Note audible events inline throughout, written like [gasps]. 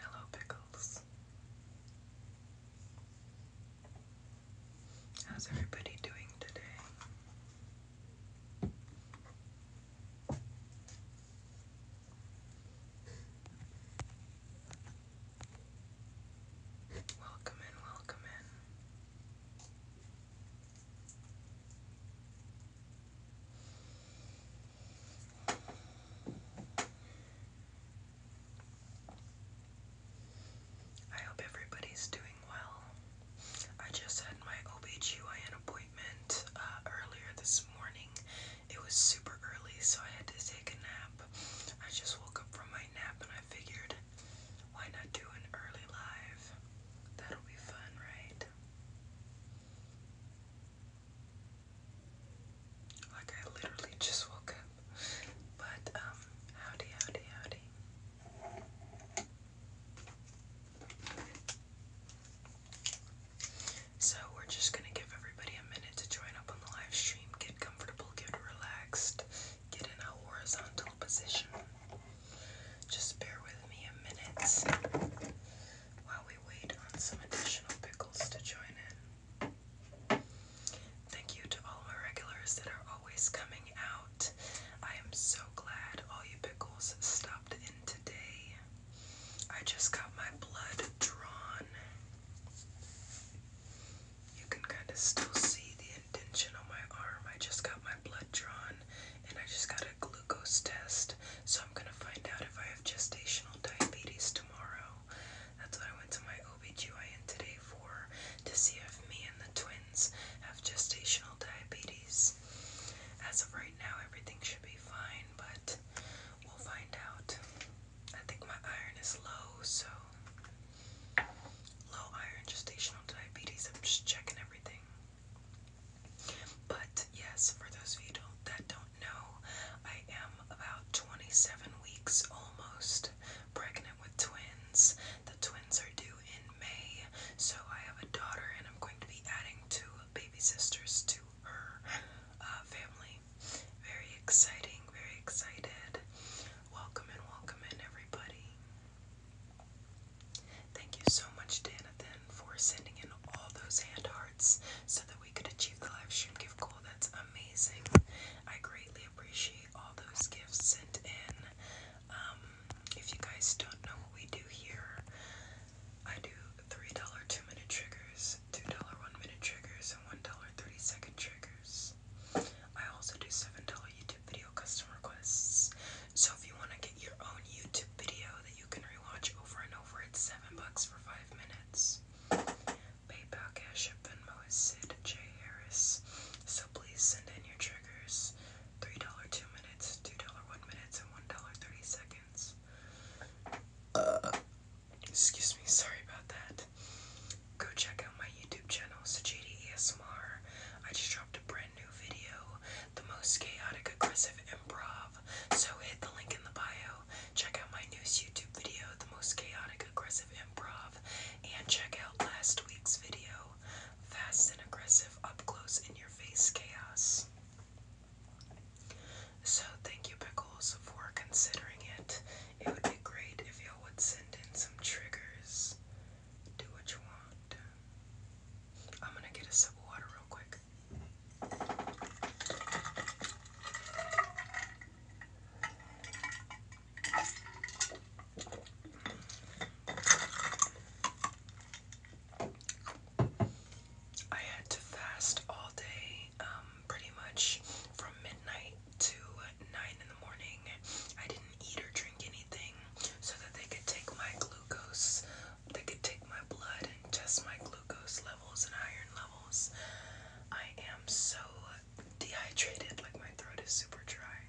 Hello, Pickles. How's everybody doing today? Welcome in, welcome in. I hope everybody's doing well. I just had my OBGYN appointment uh, earlier this morning it was super early, so I had to take a nap. I just woke up from my nap and I figured, why not do an early live? That'll be fun, right? Like, I literally just woke up. But, um, howdy, howdy, howdy. So, we're just gonna give everybody a minute to join up on the live stream, get comfortable get relaxed, get in a horizontal position. Just bear with me a minute while we wait on some additional pickles to join in. Thank you to all my regulars that are always coming out. I am so glad all you pickles stopped in today. I just got my blood drawn. You can kind of still see the indentation on my arm. I just got my blood drawn and I just got a glucose test. So I'm going to find out if I have gestational diabetes tomorrow. That's what I went to my OBGYN today for to see if me and the twins have gestational diabetes. As of right now, everything should be fine, but we'll find out. I think my iron is low, so low iron gestational diabetes. I'm just checking everything. But yes, for those of you that don't know, I am about 27 weeks almost pregnant with twins. The twins are due in May, so I have a daughter, and I'm going to be adding two baby sisters to her uh, family very exciting, very excited. Welcome and welcome in, everybody. Thank you so much, Danathan, for sending in all those hand hearts so that we could achieve the live stream gift goal. That's amazing. I greatly appreciate all those gifts sent in. Um, if you guys don't know what we do here, I do $3 two minute triggers $2 1 minute triggers, and $1 30 second triggers. I also do $7 YouTube video custom requests. So if you want to get your own YouTube video that you can rewatch over and over, at 7 bucks for 5 minutes. PayPal, Cash App, Venmo is Sid J. Harris. So please send in your triggers. $3 2 minutes, $2 1 minutes, and $1 30 seconds. Uh, Excuse me, sorry about that. Go check out my YouTube channel, Sajidi ASMR. I just dropped a brand new video, the most chaotic aggressive improv. So hit the link in the bio, check out my newest YouTube video, the most chaotic aggressive improv, and check out last week's video, fast and aggressive up close in your face chaos. So thank you, Pickles, for considering it. It would be great if y'all would send in some triggers. Do what you want. I'm gonna get a sip of water real quick. I had to fast all day um, pretty much from midnight to 9 in the morning. I didn't eat or drink anything so that they could take my glucose, they could take my blood and test my glucose levels and iron levels. I am so dehydrated, like my throat is super dry.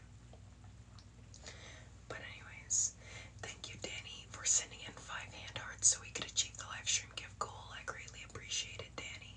But anyways, thank you Danny for sending in five hand hearts so we could achieve the live stream gift goal. I greatly appreciate it, Danny.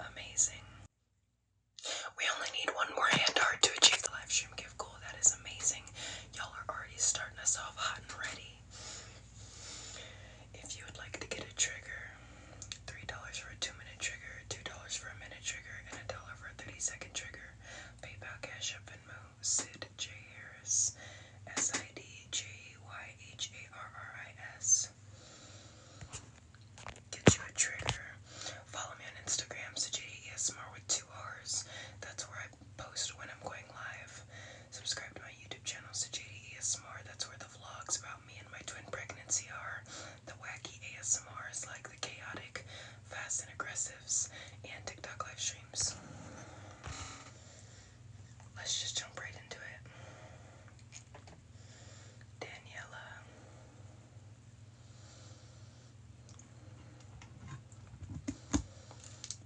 Amazing. We only need one more hand to achieve the live gift goal. That is amazing. Y'all are already starting us off hot and ready. If you would like to get a trigger, $3 for a 2 minute trigger, $2 for a minute trigger, and a dollar for a 30 second trigger, PayPal, Cash Up, and move. Sid J. Harris, S I D J Y H A R R I S. Get you a trigger. Follow me on Instagram, Sajida ASMR with two R's. That's where I post when I'm going live. Subscribe to my YouTube channel, Sajida ASMR. That's where the vlogs about me and my twin pregnancy are. The wacky ASMRs like the chaotic, fast and aggressives, and TikTok live streams. Let's just jump right into it. Daniela.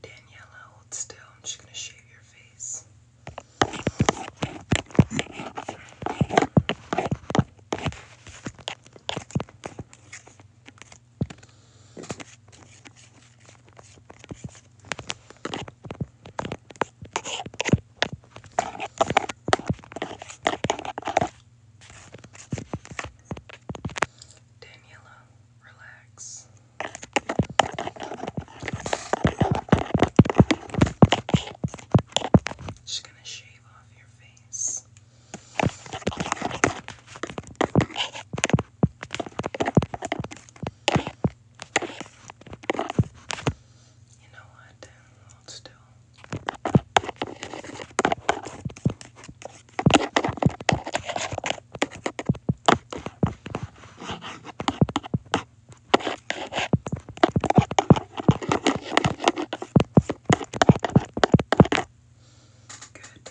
Daniela, hold still. I'm just going to shave your face. Daniela, relax. She's going to shave off your face. You know what? Hold still. Good.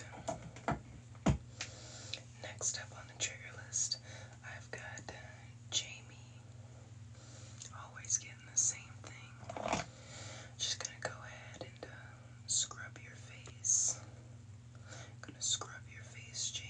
Next up on the trigger list, I've got Jamie. Always getting the same thing. Just gonna go ahead and um, scrub your face. Gonna scrub your face, Jamie.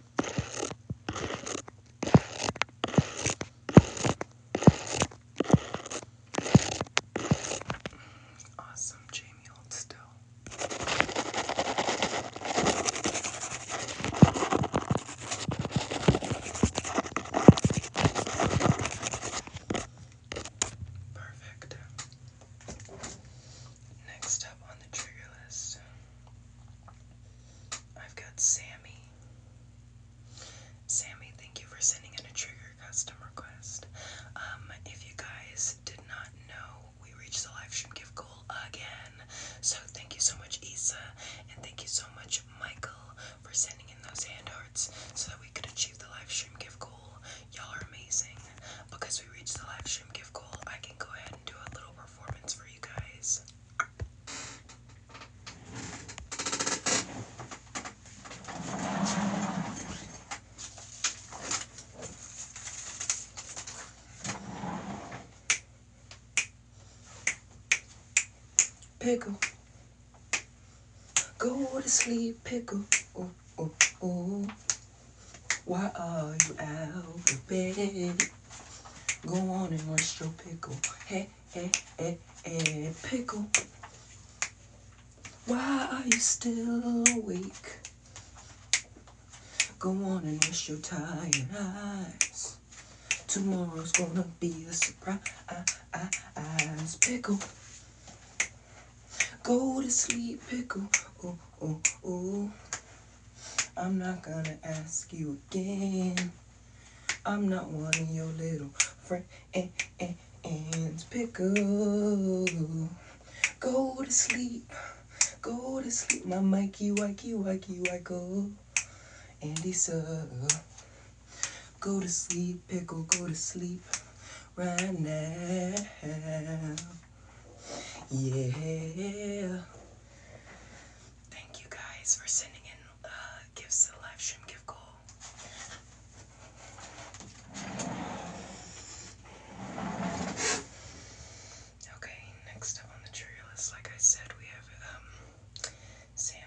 Awesome, Jamie, hold still. Perfect. Next up on the trigger list, I've got Sammy. Sammy, thank you for sending in a trigger custom request. Um, if you guys did not know, we reached the live stream gift goal again. So thank you so much, Isa, and thank you so much, Michael, for sending in those hand hearts so that we could achieve the live stream gift goal. Y'all are amazing because reach the live stream gift goal, I can go ahead and do a little performance for you guys. Pickle, go to sleep, pickle. Oh, oh, oh. Why are you out of bed? Go on and wash your pickle. Hey, hey, hey, hey, pickle. Why are you still awake? Go on and wash your tired eyes. Tomorrow's gonna be a surprise, pickle. Go to sleep, pickle. Oh, oh, oh. I'm not gonna ask you again. I'm not one of your little friends. Pickle. Go to sleep. Go to sleep, my Mikey, Wicky, Wicky, Wiko. Andy, sir. Go to sleep, pickle, go to sleep right now. Yeah. Thank you guys for sending in uh, gifts to live stream gift goal. Okay, next up on the trigger list, like I said, we have um, Sammy.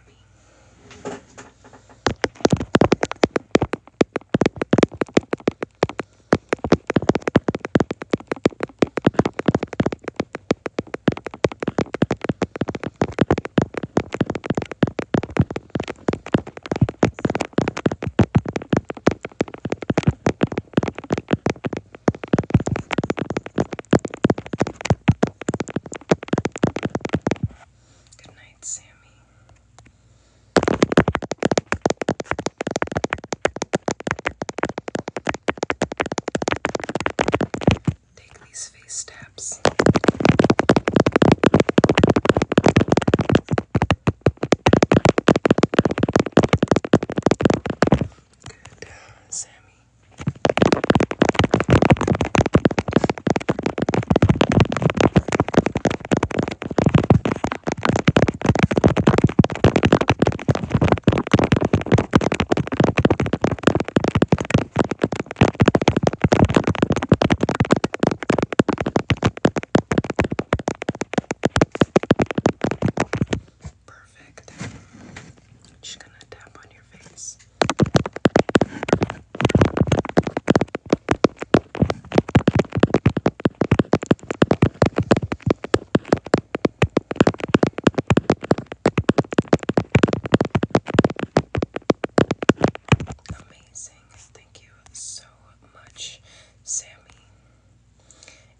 Good night, Sammy. Take these face taps. Good, Sammy. Perfect. I'm just gonna tap on your face. Amazing. Thank you so much, Sammy.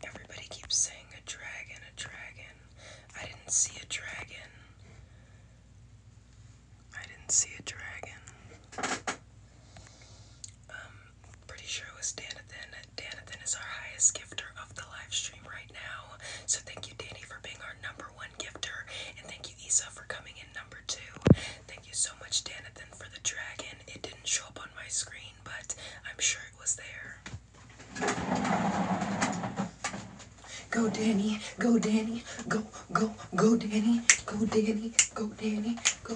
Everybody keeps saying a dragon, a dragon. I didn't see a dragon. I didn't see a dragon. Um, pretty sure it was Danathan. Danathan is our highest gifter of the live stream right now. So thank you, Danny, for being our number one gifter, and thank you, Isa, for coming in number two. Thank you so much, Danathan, for the dragon. It didn't show up on my screen, but I'm sure it was there. Go Danny, go Danny, go, go, go Danny, go Danny, go Danny, go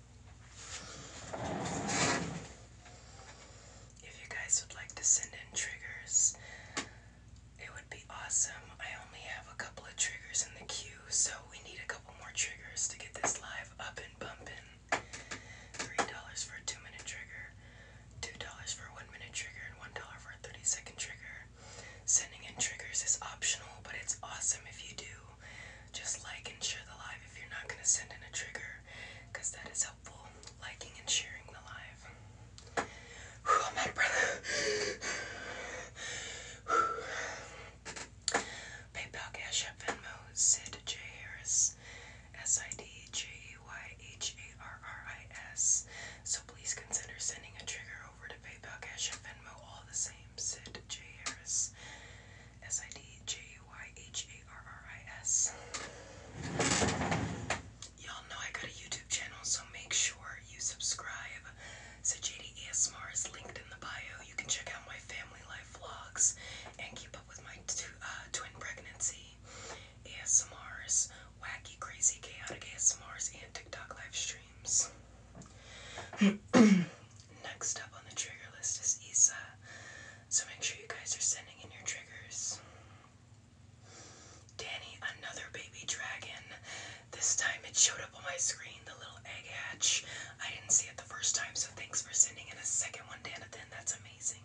If you guys would like to send in triggers, it would be awesome. I only have a couple of triggers in the queue, so we need a couple more triggers to get this live up and bumping. $3 for a 2 minute trigger, $2 for a 1 minute trigger, and $1 for a 30 second trigger. Sending in triggers is optional, but it's awesome if you do. Just like and share the live if you're not going to send in a trigger because that is helpful. Liking and sharing the live. I'm out of breath. PayPal, Cash App, Venmo, Sid J. Harris, S I D J E Y H A R R I S. So please consider sending a trigger over to PayPal, Cash App, Venmo, all the same. Sid J. Harris, S I D J U W-Y-H-A-R-R-I-S. Y'all know I got a YouTube channel, so make sure you subscribe. So JD ASMR is linked in the bio. You can check out my family life vlogs and keep up with my uh, twin pregnancy ASMRs, wacky, crazy, chaotic ASMRs, and TikTok live streams. [clears throat] Next up on the trigger list is Isa, so make sure you guys are sending in your triggers. Danny, another baby dragon. This time it showed up on my screen, the little egg hatch. I didn't see it the first time, so thanks for sending in a second one, Danathan. That's amazing.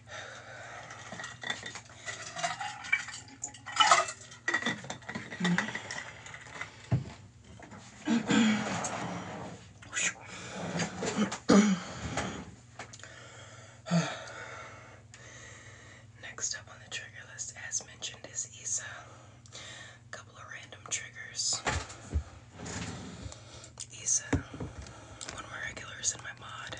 Next up on the trigger list, as mentioned, is Isa. A couple of random triggers. Isa, one of regulars in my mod.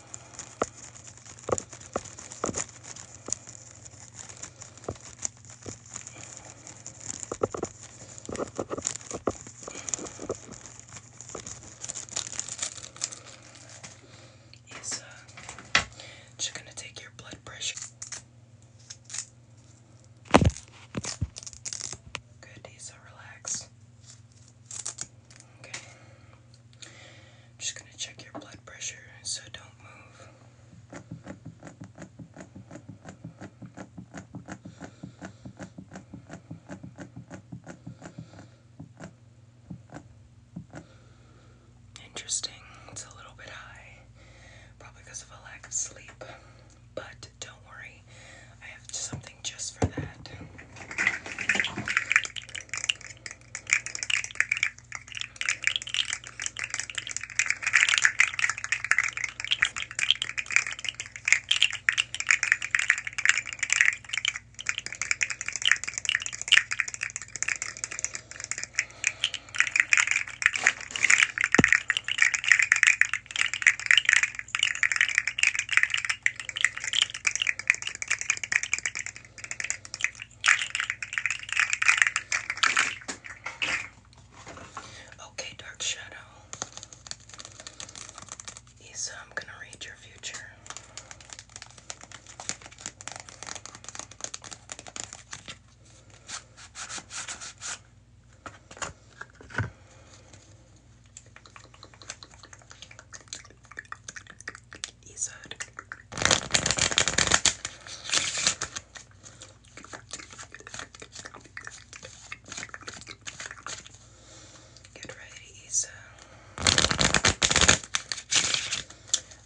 Is uh, just gonna take your blood pressure. Good, so relax. Okay. I'm just gonna check your blood pressure, so don't move. Interesting. It's a little bit high, probably because of a lack of sleep. But don't worry, I have something just for that. Okay, Dark Shadow. Isa, I'm going to read your future. Izar. Get ready, Isa.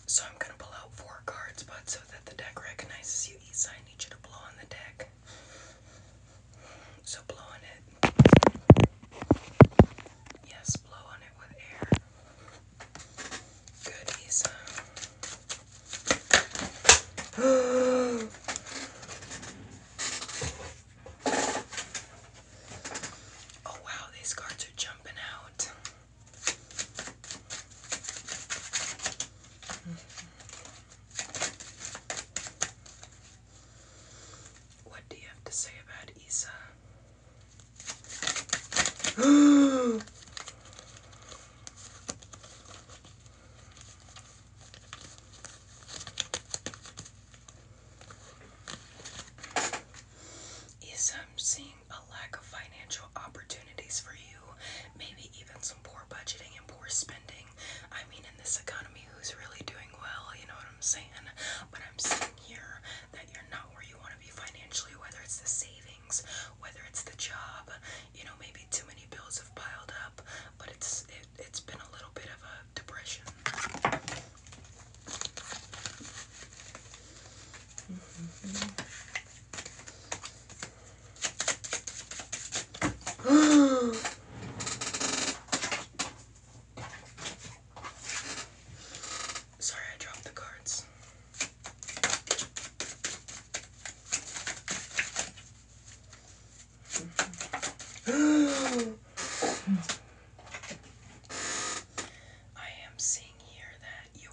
So I'm gonna pull out four cards, but so that the deck recognizes you, Isa, I need you to blow on the deck. So blowing it. Yes, blow it with air. Good, [gasps] oh wow, these cards are jumping out. What do you have to say about Isa? [gasps] Isa, seeing a lack of financial opportunities for you. Maybe even some poor budgeting and poor spending. I mean, in this economy, who's really doing well, you know what I'm saying? But I'm seeing here that you're not where you want to be financially, whether it's the savings, whether it's the job, you know, maybe too many bills have piled up, but it's it, it's been a little bit of a depression. Sorry, I dropped the cards. [gasps] I am seeing here that your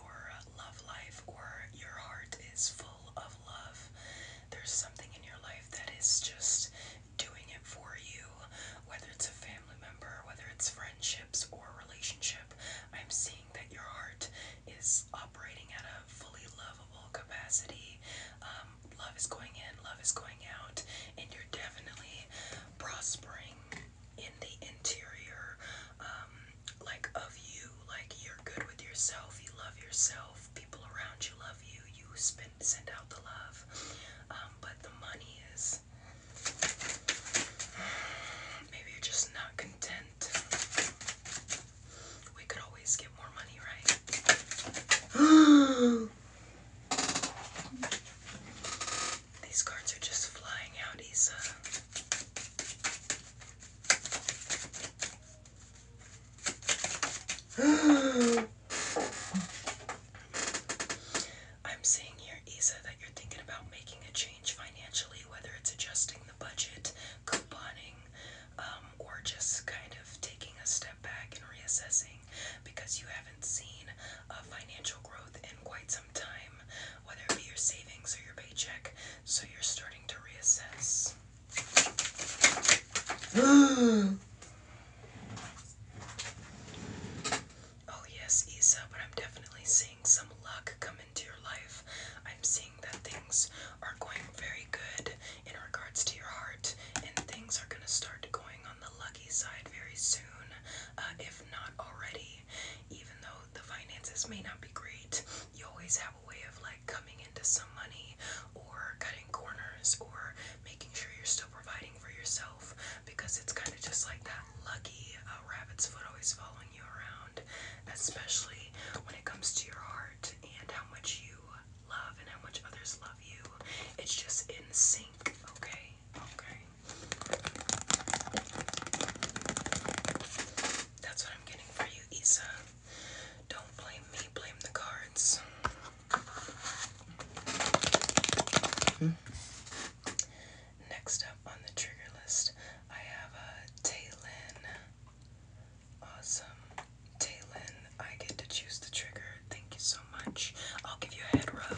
love life or your heart is full of love. There's something in your life that is just doing it for you, whether it's a family member, whether it's friendships or relationship. I'm seeing that your heart is operating at a fully lovable capacity. Um, love is going in, love is going out, and you're definitely prospering in the interior, um, like of you. Like you're good with yourself, you love yourself, people around you love you. spend send out the love, um, but the money is [sighs] maybe you're just not content. We could always get more money, right? [gasps] These cards are just flying out, Isa. [gasps] [gasps] I'm seeing here, Isa, that you're thinking about making a change financially, whether it's adjusting the budget, couponing, um, or just kind of taking a step back and reassessing because you haven't seen a financial growth in quite some time, whether it be your savings or your paycheck. So you're starting to reassess. [gasps] [gasps] Oh, yes, Isa, but I'm definitely seeing some luck come into your life. I'm seeing that things are going very good in regards to your heart, and things are going to start going on the lucky side very soon, uh, if not already. Even though the finances may not be great, you always have a way of like coming into some money money or cutting corners or making sure you're still providing for yourself because it's kind of just like that lucky uh, rabbit's foot always following you around, especially when it comes to your heart and how much you love and how much others love you. It's just in sync, okay? Okay. That's what I'm getting for you, Isa. Don't blame me, blame the cards. Hmm. Next up on the trigger list, I have a Taylin. Awesome. Taylin, I get to choose the trigger. Thank you so much. I'll give you a head rub.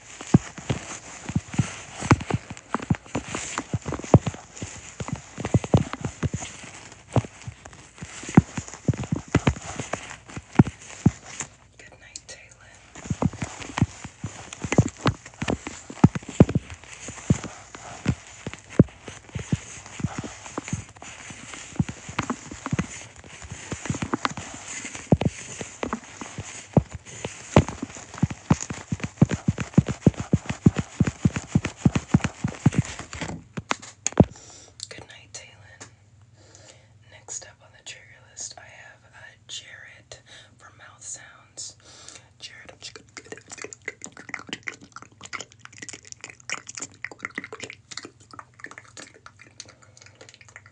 Good night, Taylor. Good night, Taylin. Next up on the trigger list, I have uh, Jared for mouth sounds. Jared.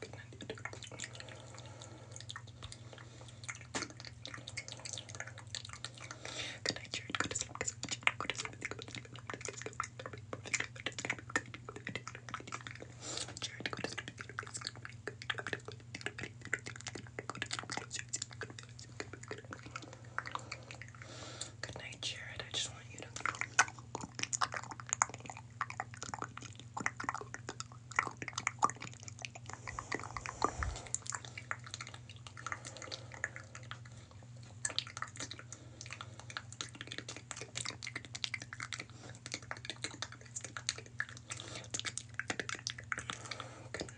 Good night, Jared. Good to sleep. Good to sleep. Good to sleep. Jared, go to sleep. Good night, Jared. I just want you to. Good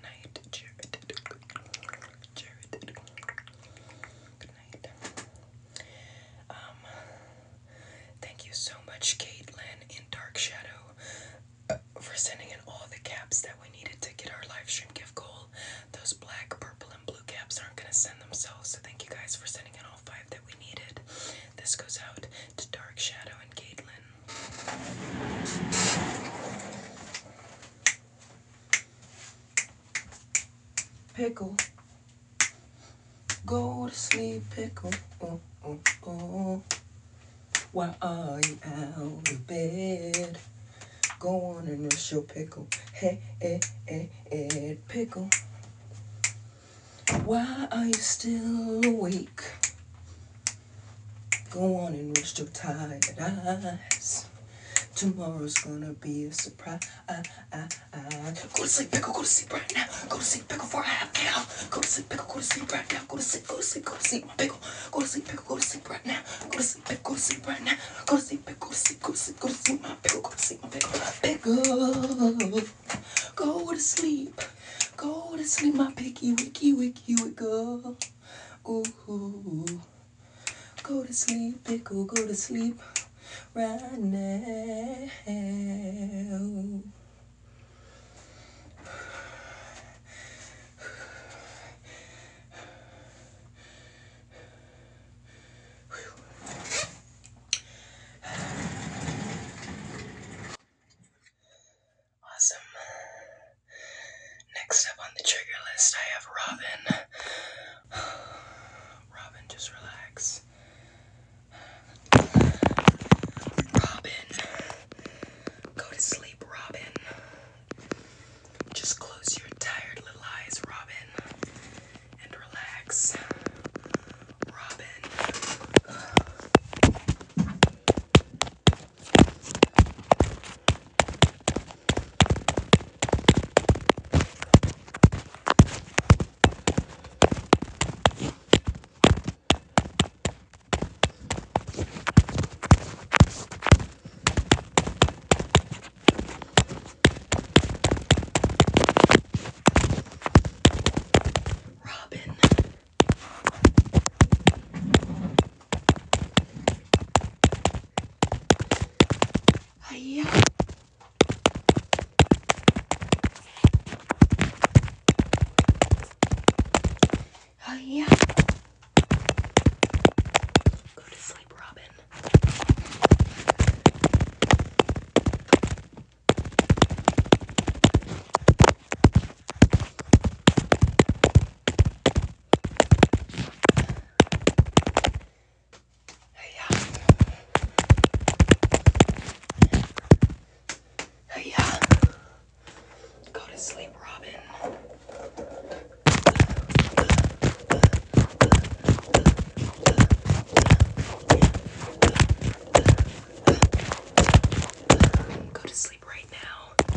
night, Jared. Jared. Good night. Um Thank you so much, Caitlin in Dark Shadow, uh, for sending in all the caps that we needed to get our livestream gift goal. Those black, purple, and blue caps aren't going to send themselves, so thank you guys for sending in all five that we needed. This goes out to Dark Shadow and Caitlin. Pickle. Go to sleep, pickle. Oh, Why are you out of bed? Go on and nurse your pickle. Hey, hey, hey, hey, pickle. Why are you still awake? Go on and rest your tired eyes. Tomorrow's gonna be a surprise. Go to sleep, pickle. Go to sleep right now. Go to sleep, pickle, for Calm down. Go to sleep, pickle. Go to sleep right now. Go to sleep. Go to sleep. Go to sleep, my pickle. Go to sleep, pickle. Go to sleep right now. Go to sleep, pickle. Go to sleep right now. Go to sleep, pickle. Go to sleep. Go to sleep. Go to sleep, my pickle. Go to sleep, my pickle. Pickle. Go to sleep. Go to sleep, my picky, wicky, wicky, wiggle. Ooh. Go to sleep, pickle. Go to sleep right now. Awesome. Next up on the trigger list, I have Robin. [sighs] Robin, just relax. Robin, go to sleep, Robin. Just close your tired little eyes, Robin, and relax, Robin. Robin. Hiya. Oh, yeah. Go to sleep, Robin. Oh, yeah. Oh, yeah. Go to sleep, Robin. Go to sleep right now.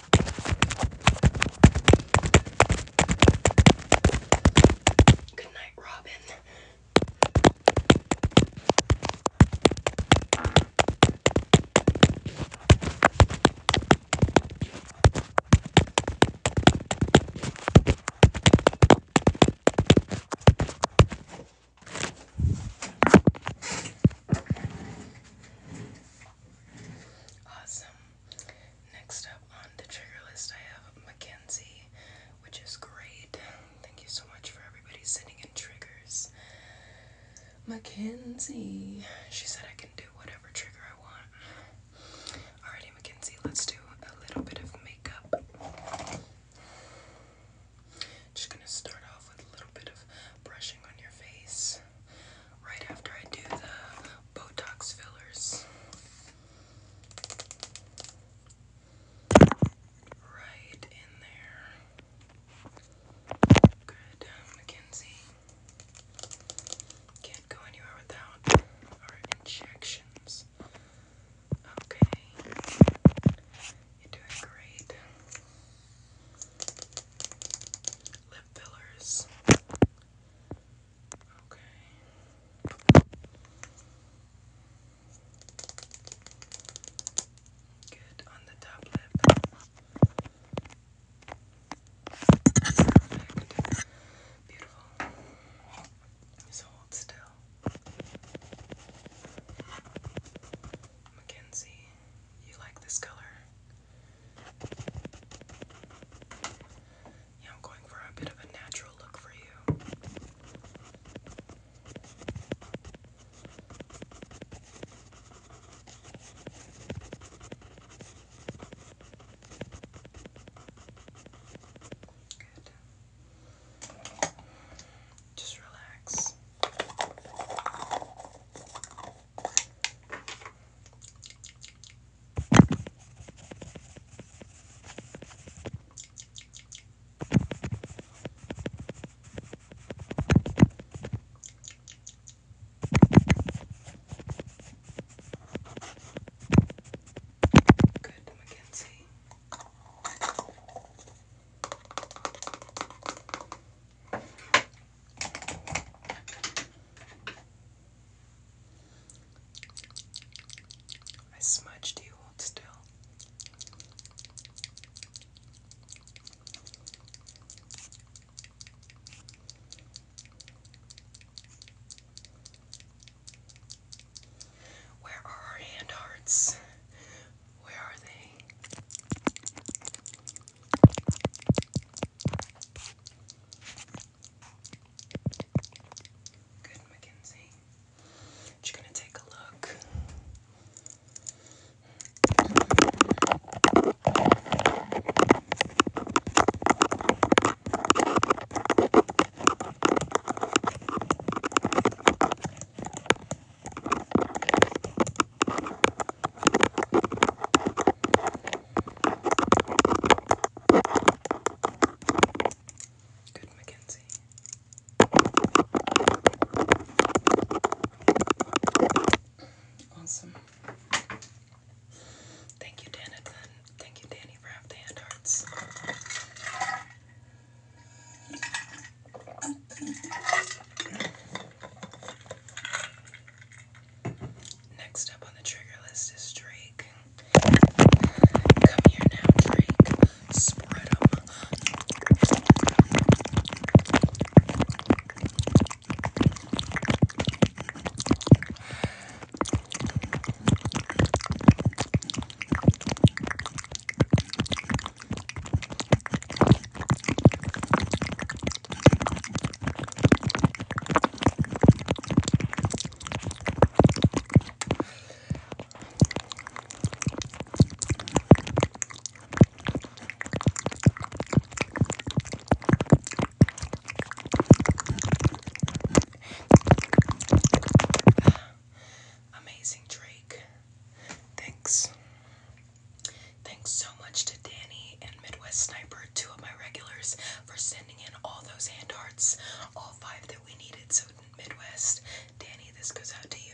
Good night, Robin. Awesome. Next up on the trigger list, I have Mackenzie, which is great. Thank you so much for everybody sending in triggers. Mackenzie, she said I can do whatever trigger I want. Alrighty, Mackenzie, let's do a little bit of makeup. Just gonna start off with a little bit of brushing on your face right after I do the Botox fillers. Right in there. Good, um, Mackenzie. Can't go anywhere without our injections. Okay. You're doing great. Lip fillers. Okay. Good on the top lip. Perfect. Beautiful. So hold still. Mackenzie, you like this color? Yeah, I'm going for a bit of a natural look for you. Good. Just relax. Good, Mackenzie. I smudged you, hold still. Where are our hand hearts? Where are they? Good, Mackenzie. Just gonna take a look. Good Mackenzie. Awesome. Thank you, Danny. Thank you, Danny, for the hand hearts. Next up on the trigger list is Drake. Come here now, Drake. Spread them. Amazing Drake. Thanks. Thanks so much to Danny and Midwest Sniper two of my regulars for sending in all those hand arts, all five that we needed. So, Midwest, Danny, this goes out to you.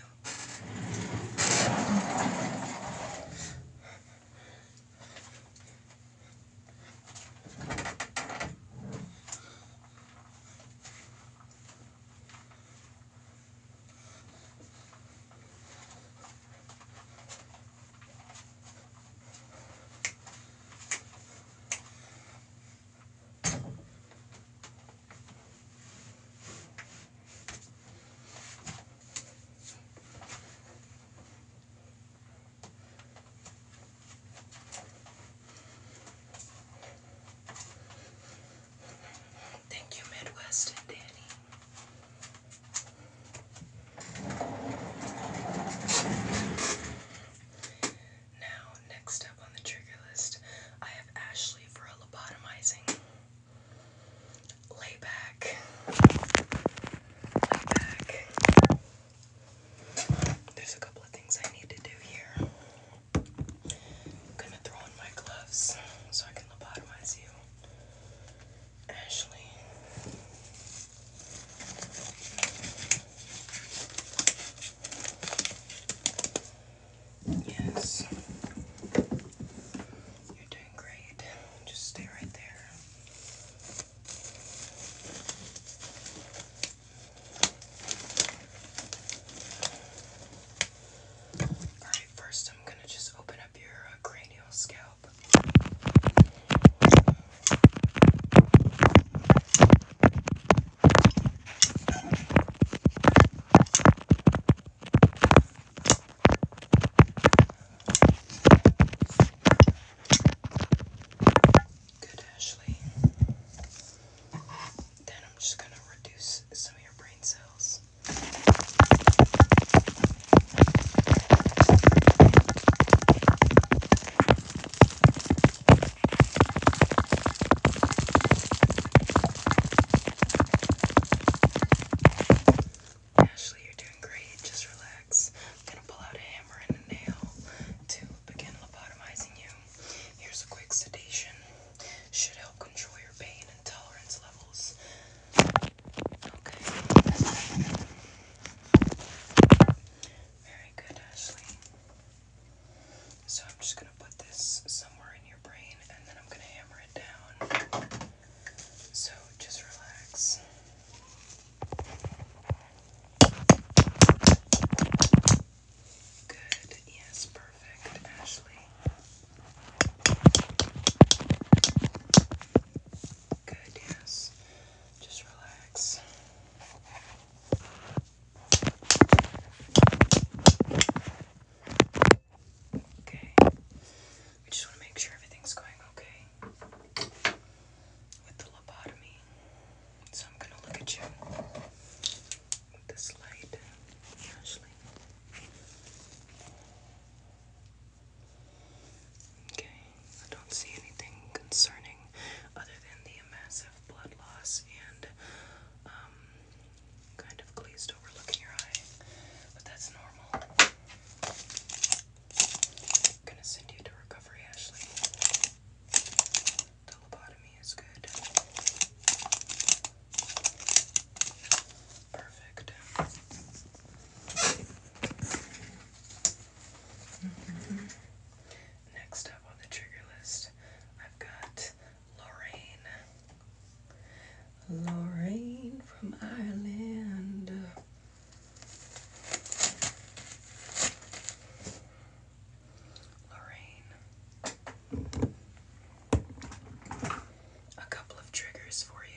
Thank you, Midwest Danny. Now, next up on the trigger list, I have Ashley for a lobotomizing. Lay back. Lay back. There's a couple of things I need to do here. I'm gonna throw on my gloves so I can lobotomize you. Ashley. Yes. You're doing great. Just stay right there. Alright, first I'm going to just open up up your uh, cranial scalp. Good, Ashley. Then I'm just going to reduce some of your brain cells. Ashley, you're doing great. Just relax. I'm gonna pull out a hammer and a nail to begin lobotomizing you. Here's a quick sedation. Should help control your pain and tolerance levels. Very good, Ashley. So I'm just going to put this somewhere in your brain and then I'm going to hammer it down. So just relax. Good. Yes, perfect, Ashley. Good, yes. Just relax. Okay. We just want to make sure everything's going okay with the lobotomy. So I'm going to look at you with this light, Ashley. Okay, I don't see anything concerning other than the massive blood loss and um, kind of glazed over look your eye, but that's normal. gonna send you to recovery, Ashley. The lobotomy is good. Perfect. Next up on the trigger list, I've got Lorraine. Lorraine from Ireland. Lorraine. A couple of triggers for you.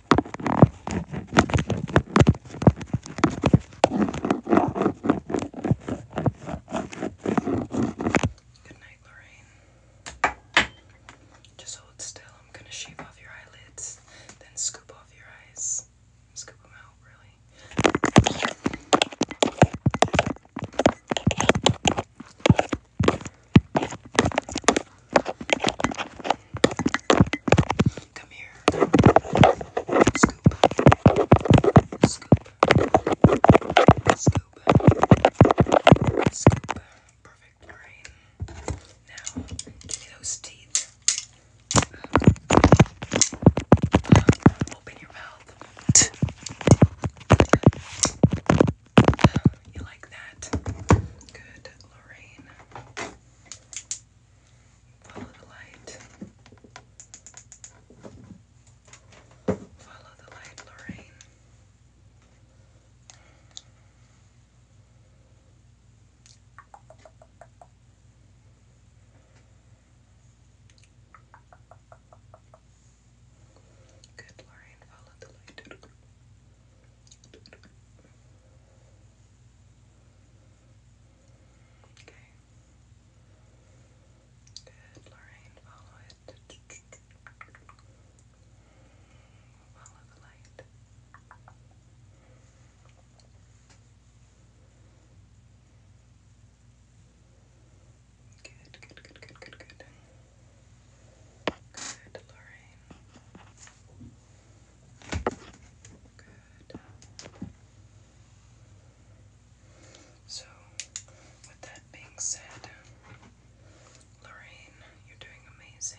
Good night, Lorraine. Just hold still. I'm gonna shave off your eyelids, then scoop off your eyes. Scoop them out, really. Come here. Scoop. Scoop. Scoop. Perfect. All right. Now, give me those teeth. Open your mouth. You like that? Good, Lorraine. Follow the light. Follow the light, Lorraine. Good, Lorraine. Follow the light. Okay. Good, Lorraine, follow it. Follow the light. Good, good, good, good, good, good. Good, Lorraine. So, with that being said, Lorraine, you're doing amazing.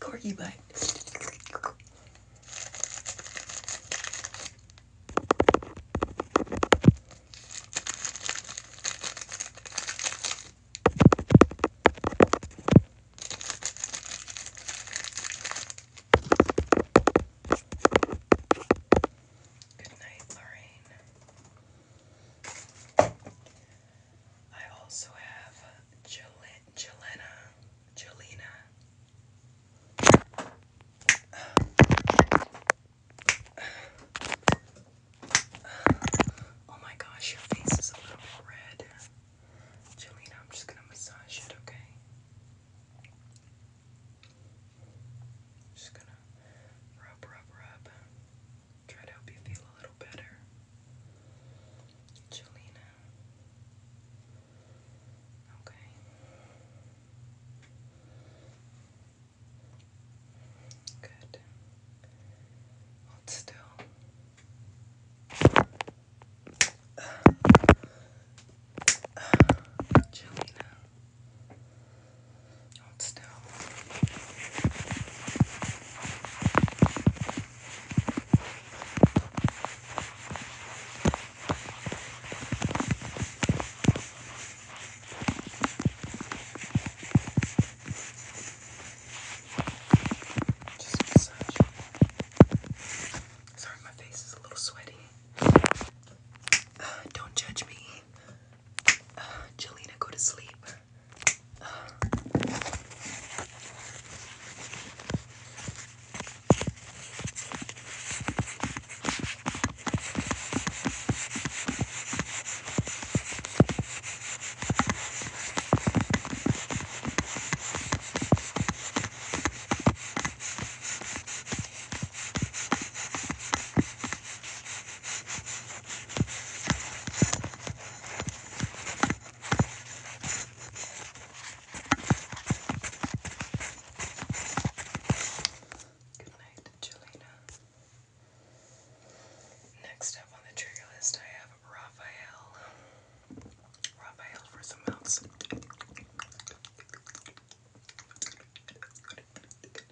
Corky butt. Good night, Lorraine. I also have Jelena, Jelena. Oh my gosh, your face is a little red. Jelena, I'm just gonna massage it, okay? Just gonna rub, rub, rub. Try to help you feel a little better. Jelena. Okay. Good. Hold still. Uh, uh, just massage. Sorry, my face is a little sweaty. Uh, don't judge me. Jelena, go to sleep. Good night, Jelena. Next up on the trigger list, I have Raphael. Raphael for some mouths.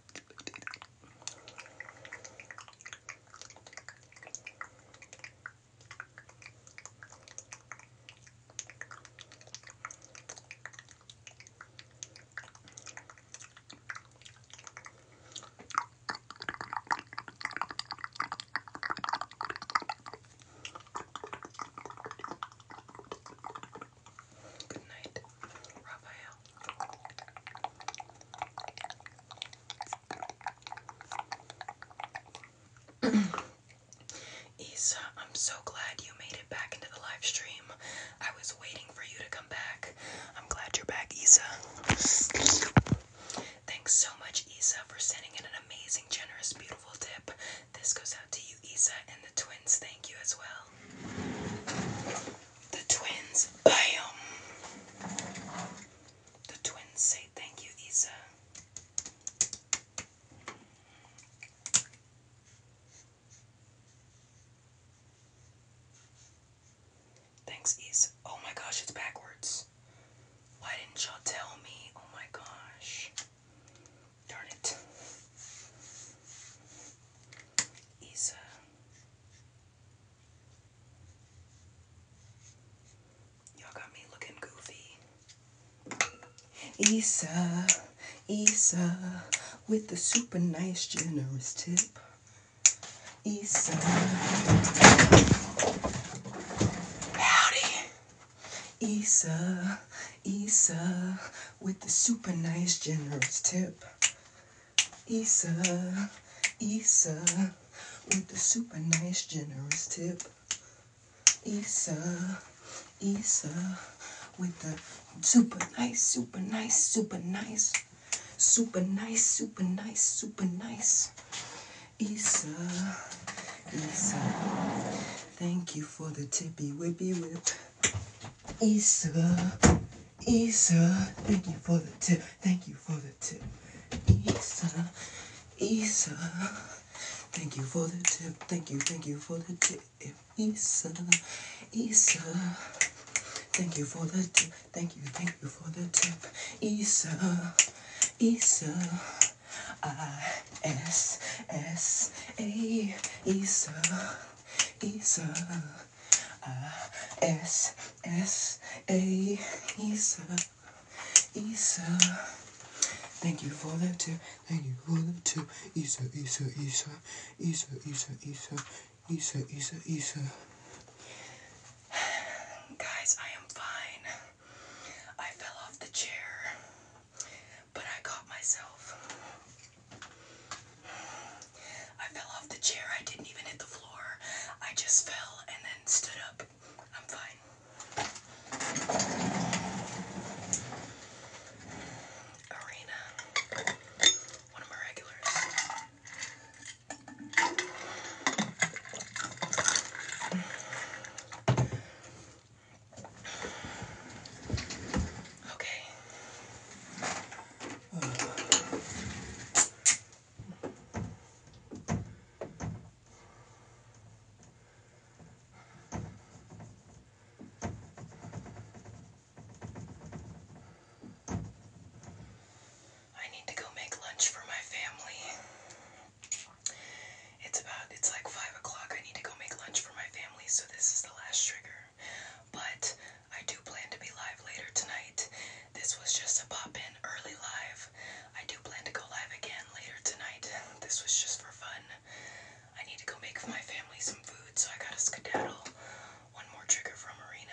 Good night, Raphael. [clears throat] Isa, I'm so glad you made it back into the live stream. I was waiting for you to come back. I'm glad you're back, Isa. Thanks so much, Isa, for sending in an amazing, generous, beautiful tip. This goes out to you, Isa, and the twins. Thank you as well. The twins, bam! The twins say thank you, Isa. Thanks, Isa. Oh my gosh, it's backwards. Why didn't y'all tell me? Oh my gosh. Darn it. Isa. Y'all got me looking goofy. Issa, Issa, with the super nice, generous tip. Issa. Howdy. Issa, Issa, with the super nice, generous tip. Issa, Issa, with the super nice generous tip. Issa, Issa, with the super nice, super nice, super nice, super nice, super nice, super nice. Issa, Issa, thank you for the tippy whippy whip. Issa, Isa, thank you for the tip. Thank you for the tip. Isa, Isa, thank you for the tip. Thank you, thank you for the tip. Isa, Isa, thank you for the tip. Thank you, thank you for the tip. Isa, Isa, I S S A Isa, Isa. S S A Isa Isa. Thank you for that tip. Thank you for that tip. Isa Isa Isa Isa Isa Isa Isa Isa Isa. Guys, I am fine. I fell off the chair, but I got myself. I fell off the chair. I didn't even hit the floor. I just fell and then stood up. I'm fine. Arena. One of my regulars. Okay. I need to go make lunch for my family. It's about, it's like 5 o'clock. I need to go make lunch for my family, so this is the last trigger but I do plan to be live later tonight. This was just a pop in early live. I do plan to go live again later tonight. [laughs] This was just for fun. I need to go make for my family some food, so I gotta skedaddle. One more trigger from Marina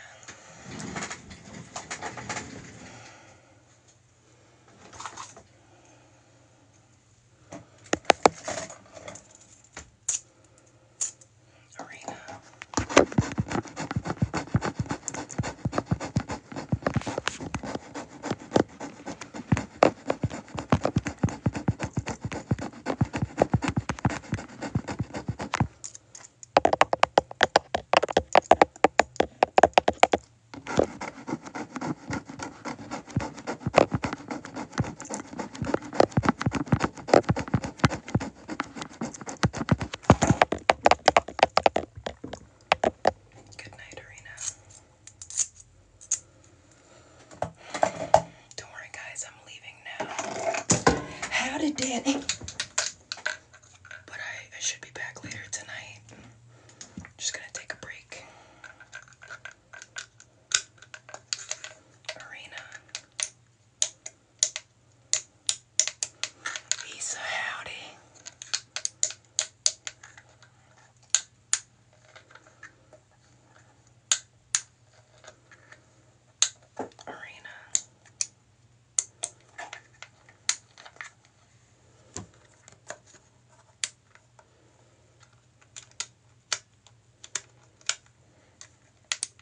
arena. Good night, Arena. Don't worry, guys, I'm leaving now. How did Danny? But I, should be back later tonight. just gonna take a break. Arena. He's a howdy. Arena.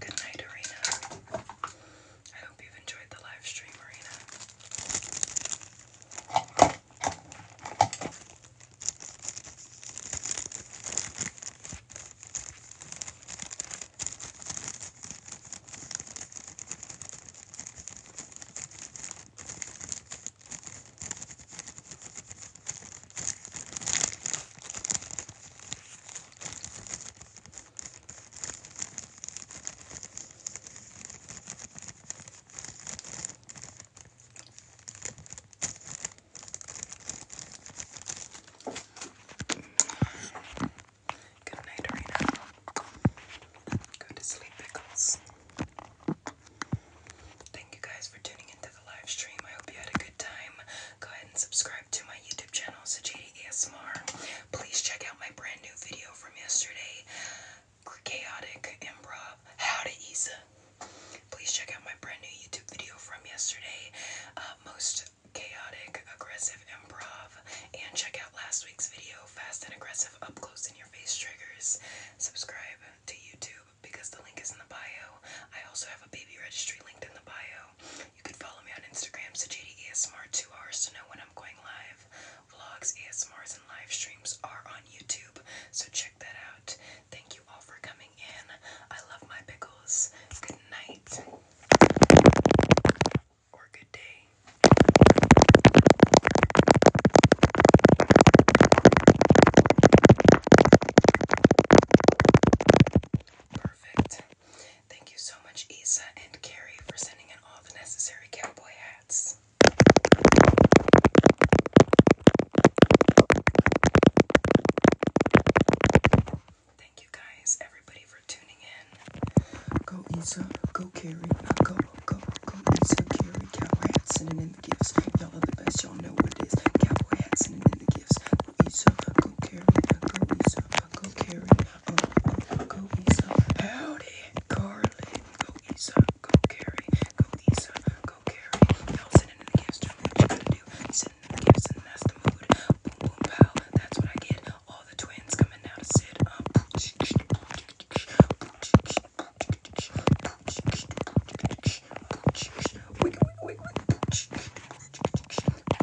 Good night, Arena. I hope you've enjoyed the live stream, Arena. Good night, Rena. Go to sleep, Pickles. Thank you guys for tuning into the live stream. I hope you had a good time. Go ahead and subscribe to my YouTube channel, Sajadi ASMR. Please check out my brand new video from yesterday, Chaotic Improv, How Isa. Please check out my brand new YouTube video from yesterday, uh, Most Chaotic Aggressive Improv. And check out last week's video, Fast and Aggressive Up Close in Your Face Triggers. Subscribe to YouTube because the link is in the bio. I also have a baby registry linked in the bio. You can follow me on Instagram, Sajidi ASMR, two hours to know when I'm going live. Vlogs, ASMRs, and live streams are on YouTube, so check that out. Thank you all for coming in. I love my pickles. Good night. Or good day. Perfect. Thank you so much, Isa and Carrie, for sending in all the necessary cowboy hats. Thank you guys, everybody, for tuning in. Go Isa, go Carrie, uh, go, go, go Isa, Carrie, cowboy hats, sending in the gifts. Y'all are the best, y'all know what it is. Cowboy hats, sending in the gifts. Isa, go Carrie, uh, go Isa, uh, go Carrie. Go Isa, howdy. Carlin, go Isa, go carry. Go Isa, go carry. Y'all sending in the gifts, doing what you gotta do. Sending in the gifts, and that's the mood. Boom, boom, pow, that's what I get. All the twins coming out of Sid. Um,